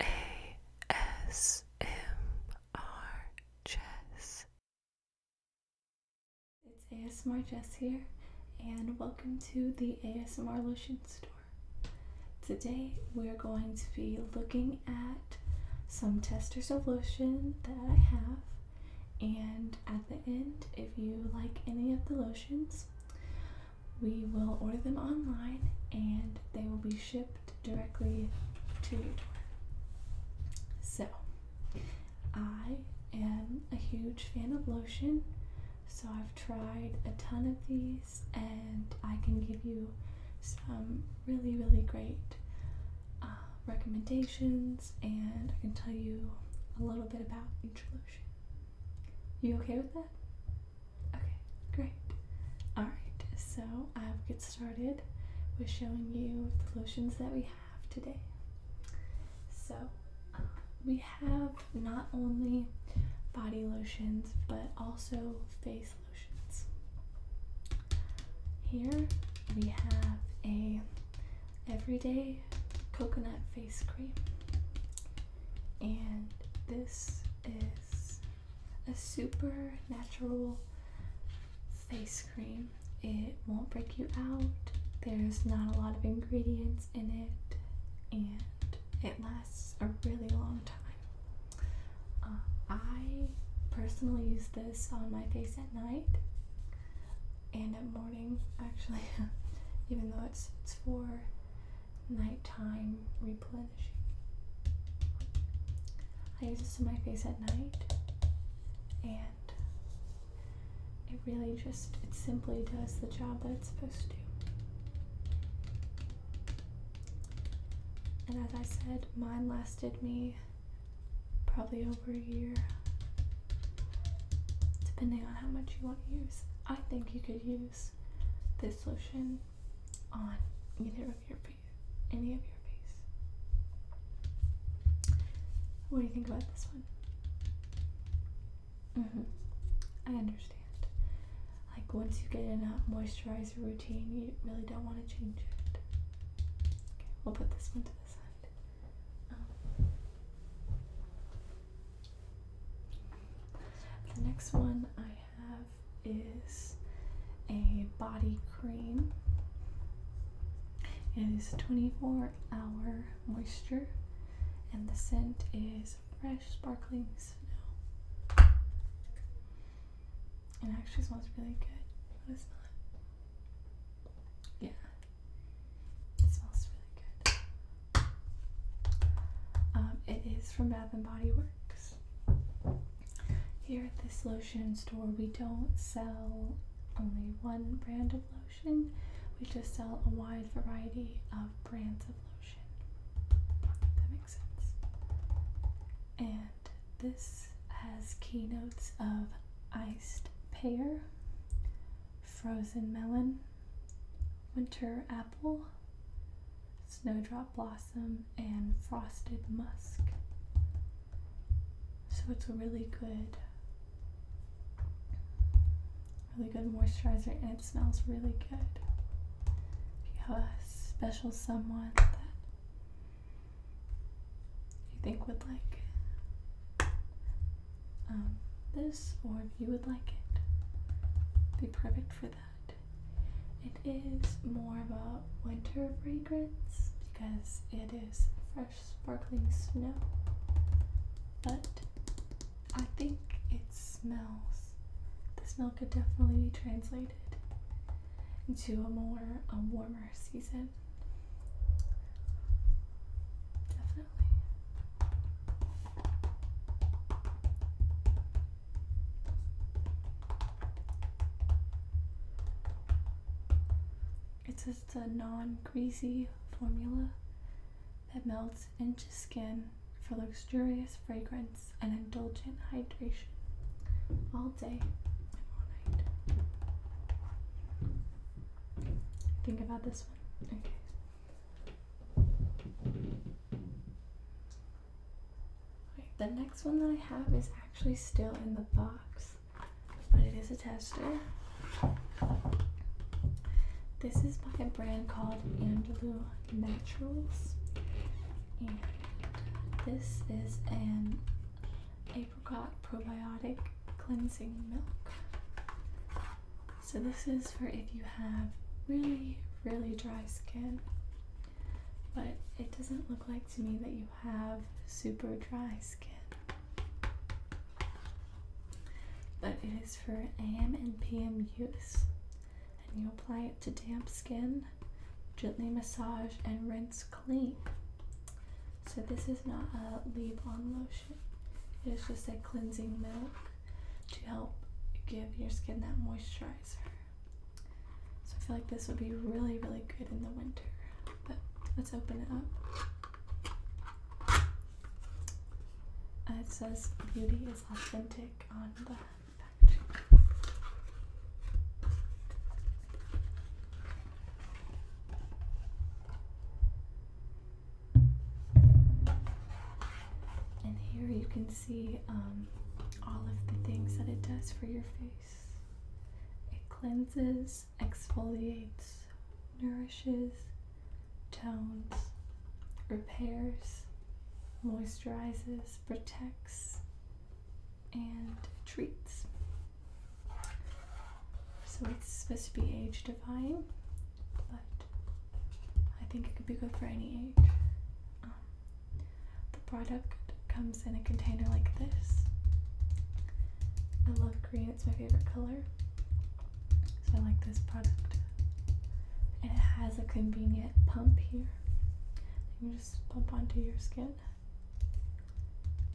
ASMR Jess. It's ASMR Jess here, and welcome to the ASMR Lotion Store. Today we're going to be looking at some testers of lotion that I have and at the end if you like any of the lotions we will order them online and they will be shipped directly to your door. So, I am a huge fan of lotion, so I've tried a ton of these, and I can give you some really, really great uh, recommendations, and I can tell you a little bit about each lotion. You okay with that? Okay, great. Alright, so I will get started with showing you the lotions that we have today. So, we have not only body lotions but also face lotions. Here we have a everyday coconut face cream and this is a supernatural face cream. It won't break you out. There's not a lot of ingredients in it, and it lasts a really long time. Uh, I personally use this on my face at night and at morning, actually, even though it's it's for nighttime replenishing. I use this on my face at night and it really just, it simply does the job that it's supposed to. And as I said, mine lasted me probably over a year, depending on how much you want to use. I think you could use this lotion on either of your face, any of your face. What do you think about this one? hmm I understand. Like once you get in a moisturizer routine, you really don't want to change it. Okay, we'll put this one to the side. Um, the next one I have is a body cream. It is 24 hour moisture, and the scent is fresh sparkling snow. And actually smells really good. Yeah, smells really good. Um, it is from Bath and Body Works. Here at this lotion store, we don't sell only one brand of lotion, we just sell a wide variety of brands of lotion. That makes sense. And this has keynotes of iced pear, frozen melon, winter apple, snowdrop blossom, and frosted musk. So it's a really good, really good moisturizer and it smells really good. If you have a special someone that you think would like um, this or if you would like it, be perfect for it is more of a winter fragrance because it is fresh sparkling snow, but I think it smells. The smell could definitely be translated into a more a warmer season. Definitely. It's just a non greasy formula that melts into skin for luxurious fragrance and indulgent hydration all day and all night. Think about this one the next one that I have is actually still in the box, but it is a tester. This is by a brand called Andalou Naturals, and this is an apricot probiotic cleansing milk. So this is for if you have really, really dry skin but it doesn't look like to me that you have super dry skin. But it is for AM and PM use. And you apply it to damp skin, gently massage, and rinse clean. So, this is not a leave on lotion, it is just a cleansing milk to help give your skin that moisturizer. So I feel like this would be really, really good in the winter. But let's open it up. And uh, it says beauty is authentic on the back. And here you can see um, all of the things that it does for your face it cleanses, exfoliates, nourishes, tones, repairs, moisturizes, protects, and treats. So it's supposed to be age defying, but I think it could be good for any age. Um, the product comes in a container like this. I love green, it's my favorite color. So I like this product. And it has a convenient pump here. You can just pump onto your skin.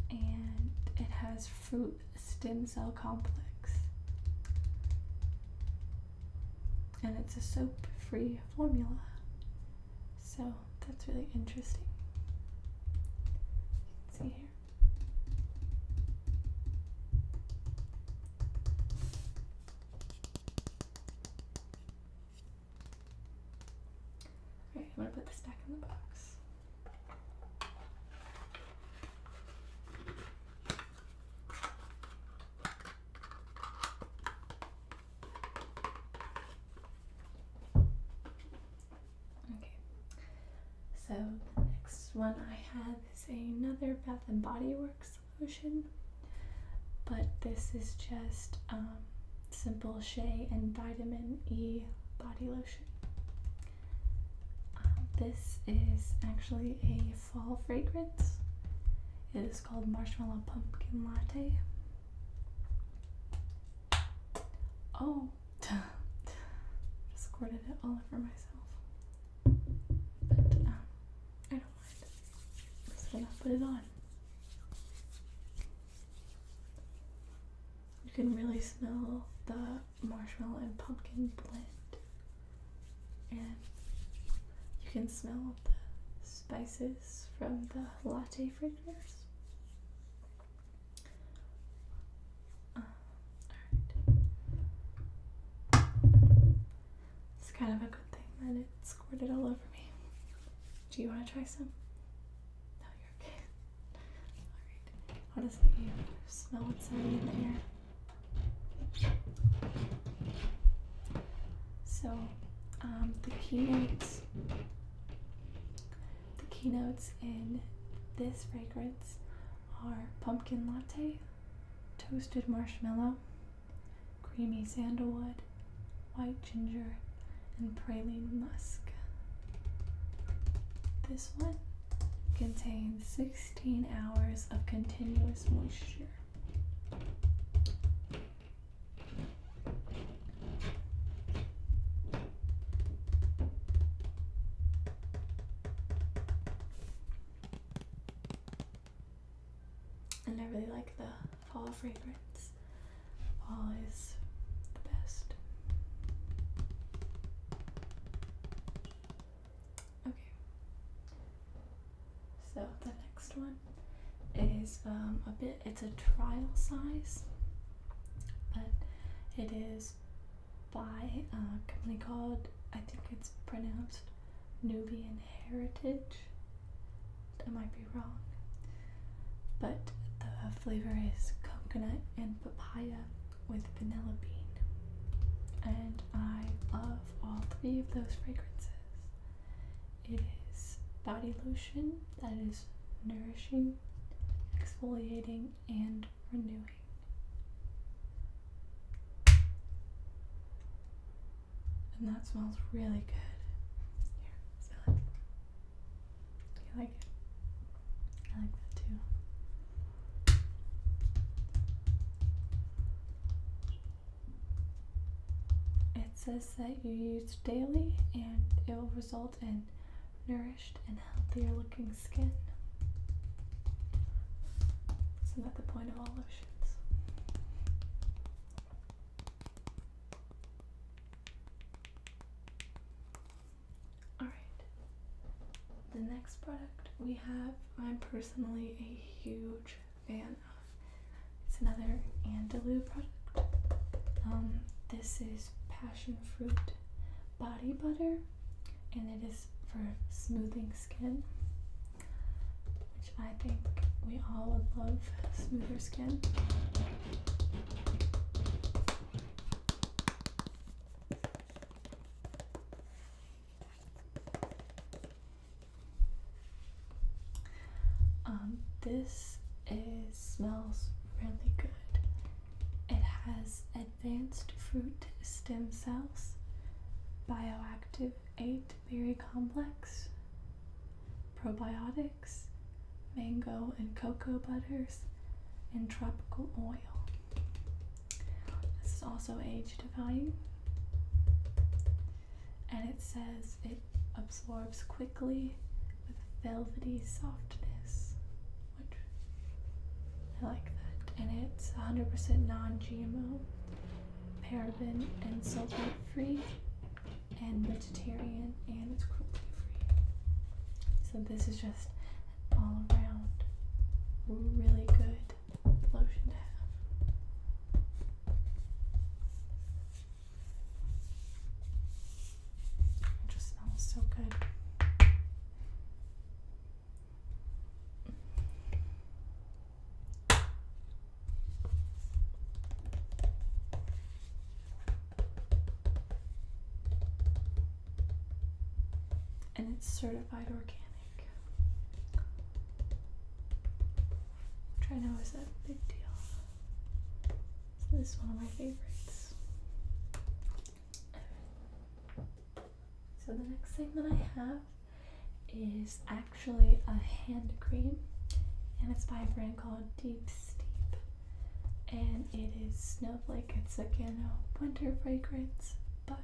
And it has fruit stem cell complex and it's a soap free formula. So that's really interesting. You can see here. Alright, I'm going to put this back in the box. Okay, so the next one I have is another Bath and Body Works lotion, but this is just um, simple Shea and Vitamin E body lotion. Um, this is actually a fall fragrance. It's called Marshmallow Pumpkin Latte. Oh, just squirted it all over myself. But um, I don't mind. I'm just gonna put it on. You can really smell the marshmallow and pumpkin blend, and you can smell the spices from the latte fragrance. Uh, it's kind of a good thing that it squirted all over me. Do you want to try some? No, you're okay. Alright. Honestly, you smell what's in here? So, um, the keynotes, the keynotes in this fragrance are pumpkin latte, toasted marshmallow, creamy sandalwood, white ginger, and praline musk. This one contains 16 hours of continuous moisture. And I really like the fall fragrance. Fall is the best. Okay. So the next one is um, a bit, it's a trial size, but it is by a company called, I think it's pronounced Nubian Heritage. I might be wrong, but the flavor is coconut and papaya with vanilla bean. And I love all three of those fragrances. It is body lotion that is nourishing, exfoliating, and renewing. And that smells really good. Here, You like it? I like that too. It says that you use daily and it will result in nourished and healthier looking skin. So I'm at the point of all lotions. Alright, the next product we have, I'm personally a huge fan It's another Andalou product. Um, this is passion fruit body butter, and it is for smoothing skin, which I think we all would love smoother skin. Um, this smells really good. It has advanced fruit stem cells, bioactive 8 berry complex, probiotics, mango and cocoa butters, and tropical oil. This is also aged to value. And it says it absorbs quickly with velvety softness, which I like that. And it's 100% non-GMO, paraben and sulfate free, and vegetarian, and it's cruelty free. So this is just all around really good lotion to have. It just smells so good. And it's certified organic. Try now. know is a big deal. So this is one of my favorites. So the next thing that I have is actually a hand cream and it's by a brand called Deep Steep and it is Snowflake. It's again a winter fragrance but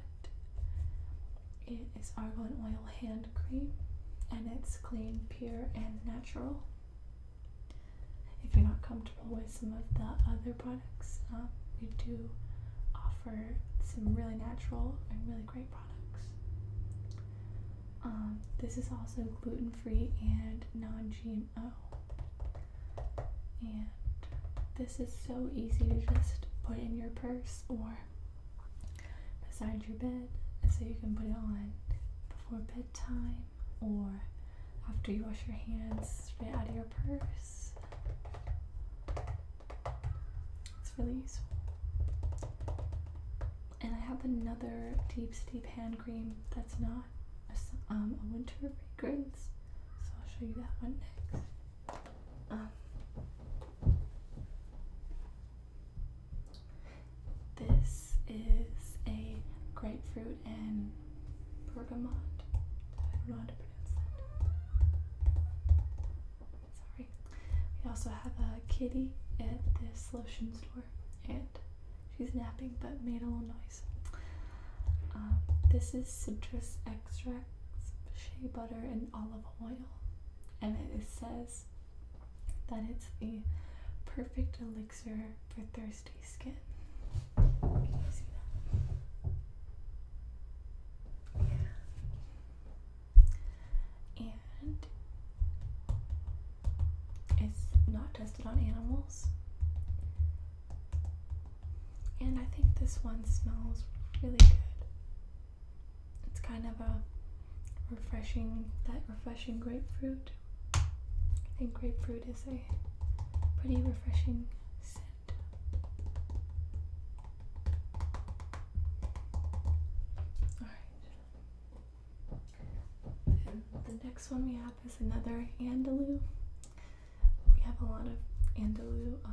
it is argan oil hand cream and it's clean, pure, and natural. If you're not comfortable with some of the other products, um, we do offer some really natural and really great products. Um, this is also gluten free and non GMO. And this is so easy to just put in your purse or beside your bed so you can put it on before bedtime or after you wash your hands straight out of your purse. It's really useful. And I have another deep steep hand cream that's not a, um, winter fragrance, so I'll show you that one next. Um, this is a grapefruit and bergamot. I do to pronounce that. Sorry. We also have a kitty at this lotion store, and she's napping but made a little noise. Um, this is citrus extracts, shea butter, and olive oil, and it says that it's the perfect elixir for thirsty skin. Yeah. And it's not tested on animals. And I think this one smells really good. It's kind of a refreshing, that refreshing grapefruit I think grapefruit is a pretty refreshing scent. Alright. The next one we have is another Andalou. We have a lot of Andalou uh,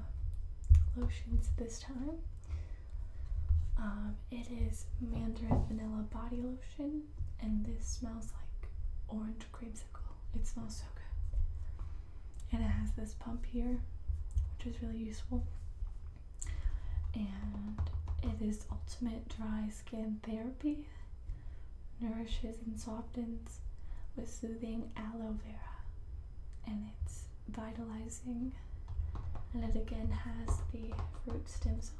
lotions this time. Um, it is Mandarin Vanilla Body Lotion and this smells like orange creamsicle. It smells so good. And it has this pump here, which is really useful. And it is ultimate dry skin therapy. Nourishes and softens with soothing aloe vera. And it's vitalizing. And it again has the fruit stem cells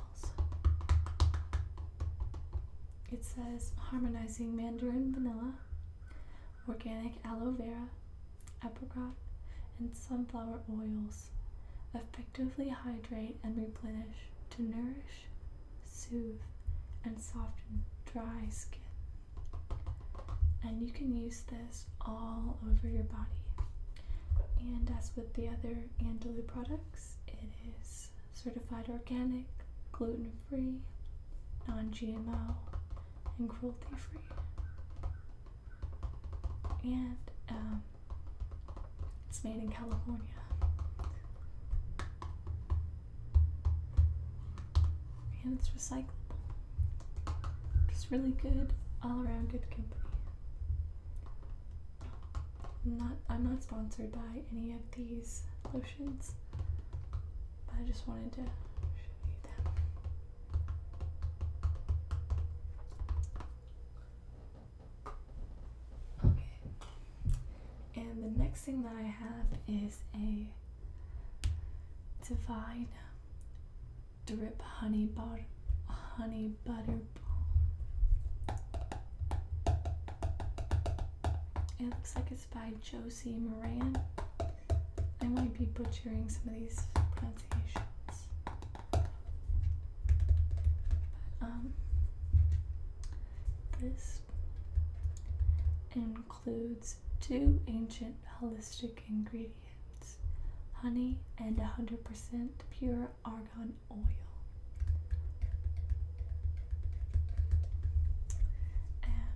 it says harmonizing mandarin vanilla, organic aloe vera, apricot, and sunflower oils effectively hydrate and replenish to nourish, soothe, and soften dry skin. And you can use this all over your body. And as with the other Andalu products, it is certified organic, gluten free, non GMO, and cruelty free. And um, it's made in California. And it's recyclable. Just really good, all around good company. I'm not I'm not sponsored by any of these lotions. But I just wanted to show you them. Okay. And the next thing that I have is a Divine Drip Honey Butter Honey Butter it looks like it's by Josie Moran. I might be butchering some of these pronunciations. But, um, this includes two ancient holistic ingredients honey and 100% pure argon oil. And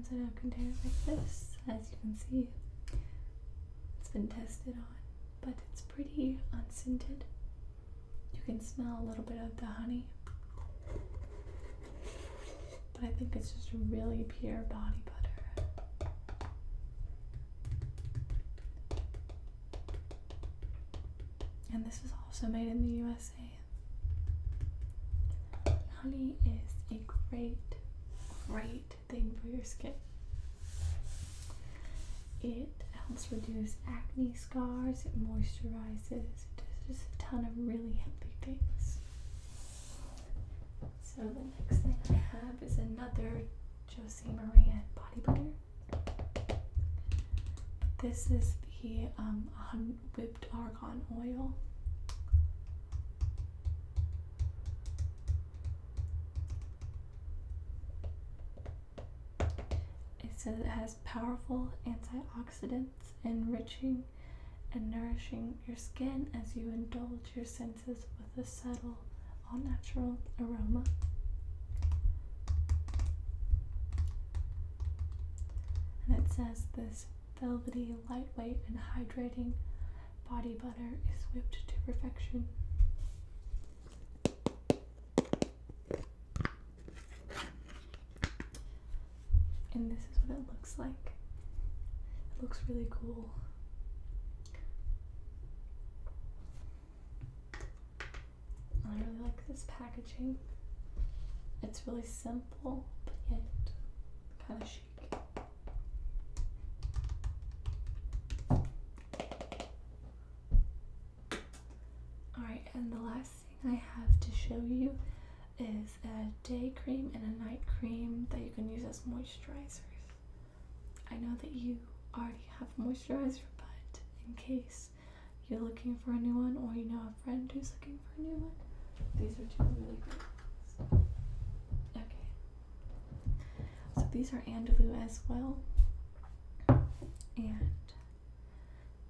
comes in a container like this, as you can see. It's been tested on, but it's pretty unscented. You can smell a little bit of the honey but I think it's just really pure body butter. And this is also made in the USA. Honey is a great, great thing for your skin. It helps reduce acne scars, it moisturizes, it does just a ton of really healthy things. So the next thing I have is another Josie Maria body butter. This is the um, whipped argan oil. It says it has powerful antioxidants, enriching and nourishing your skin as you indulge your senses with a subtle, all natural aroma. And it says this velvety, lightweight, and hydrating body butter is whipped to perfection. And this is what it looks like. It looks really cool. I really like this packaging. It's really simple, but yet kind of chic. Alright, and the last thing I have to show you is a day cream and a night cream that you can use as moisturizers. I know that you already have moisturizer, but in case you're looking for a new one or you know a friend who's looking for a new one, these are two really good ones. Okay. So these are Andalou as well. And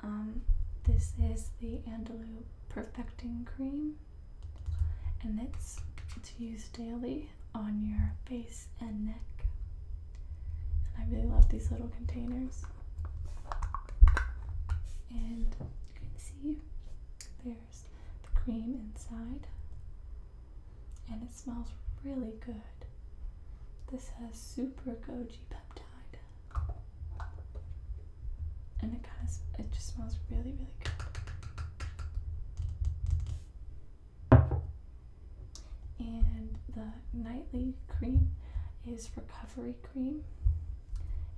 um, this is the Andalou Perfecting Cream and it's to use daily on your face and neck. And I really love these little containers. And you can see there's the cream inside, and it smells really good. This has super goji peptide, and it kind it just smells really really good. And the nightly cream is recovery cream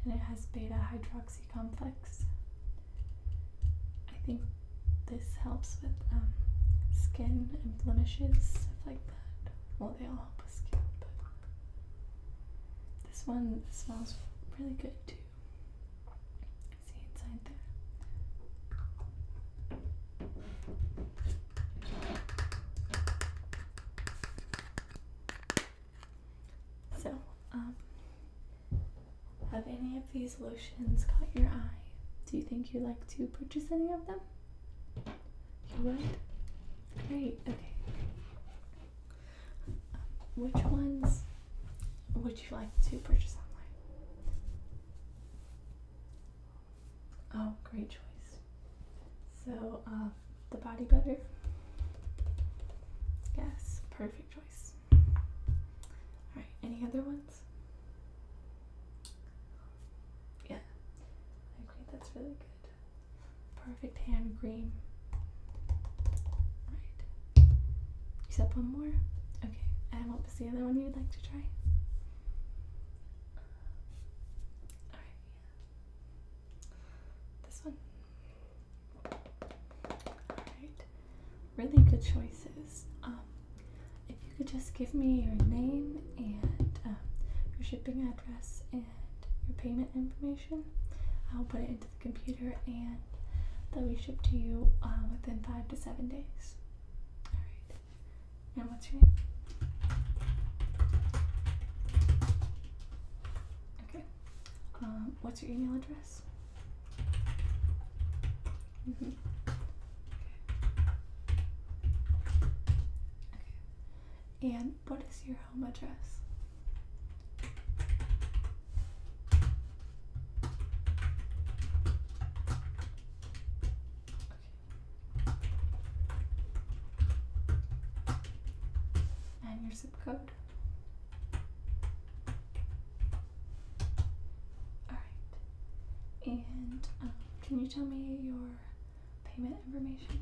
and it has beta hydroxy complex. I think this helps with um, skin and blemishes, stuff like that. Well, they all help with skin, but this one smells really good too see inside there. So, um, have any of these lotions caught your eye? Do you think you'd like to purchase any of them? You would? Great, okay. Um, which ones would you like to purchase online? Oh, great choice. So, uh, the body butter. Yes, perfect choice. Alright, any other ones? Yeah. I agree. that's really good. Perfect hand cream. Right. You that one more? Okay. And what was the other one you would like to try? Alright, This one. Alright. Really good choices. Um, if you could just give me your name and um, your shipping address and your payment information, I'll put it into computer and that we ship to you uh, within five to seven days. Alright. And what's your name? Okay. Um, what's your email address? -hmm. okay. okay. And what is your home address? And your zip code. Alright. And um, can you tell me your payment information?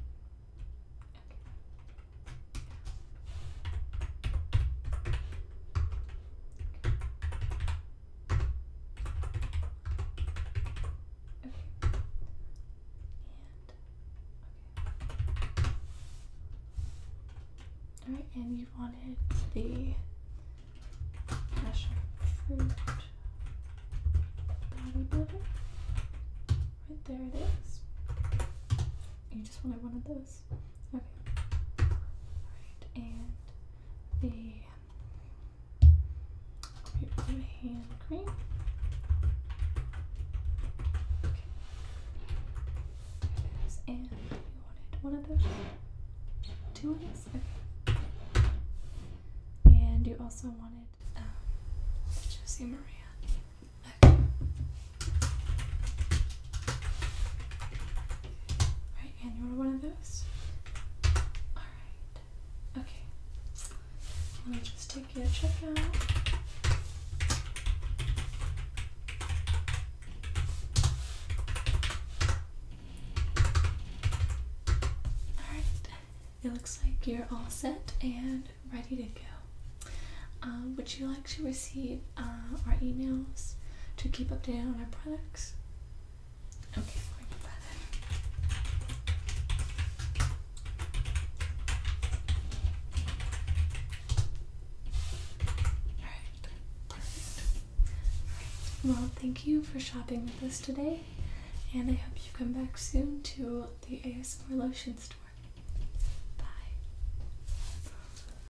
All right, and you wanted the passion fruit body bodybuilder. Right there it is. You just wanted one of those and the blue hand cream. And you wanted one of those, two And you also wanted um, Josie Maria. Right, and you want one of those? Alright. Okay. Let me just take your check out. Alright. It looks like you're all set and ready to go. Um, would you like to receive uh, our emails to keep updated on our products? Okay, perfect. Well, thank you for shopping with us today, and I hope you come back soon to the ASMR Lotion Store. Bye.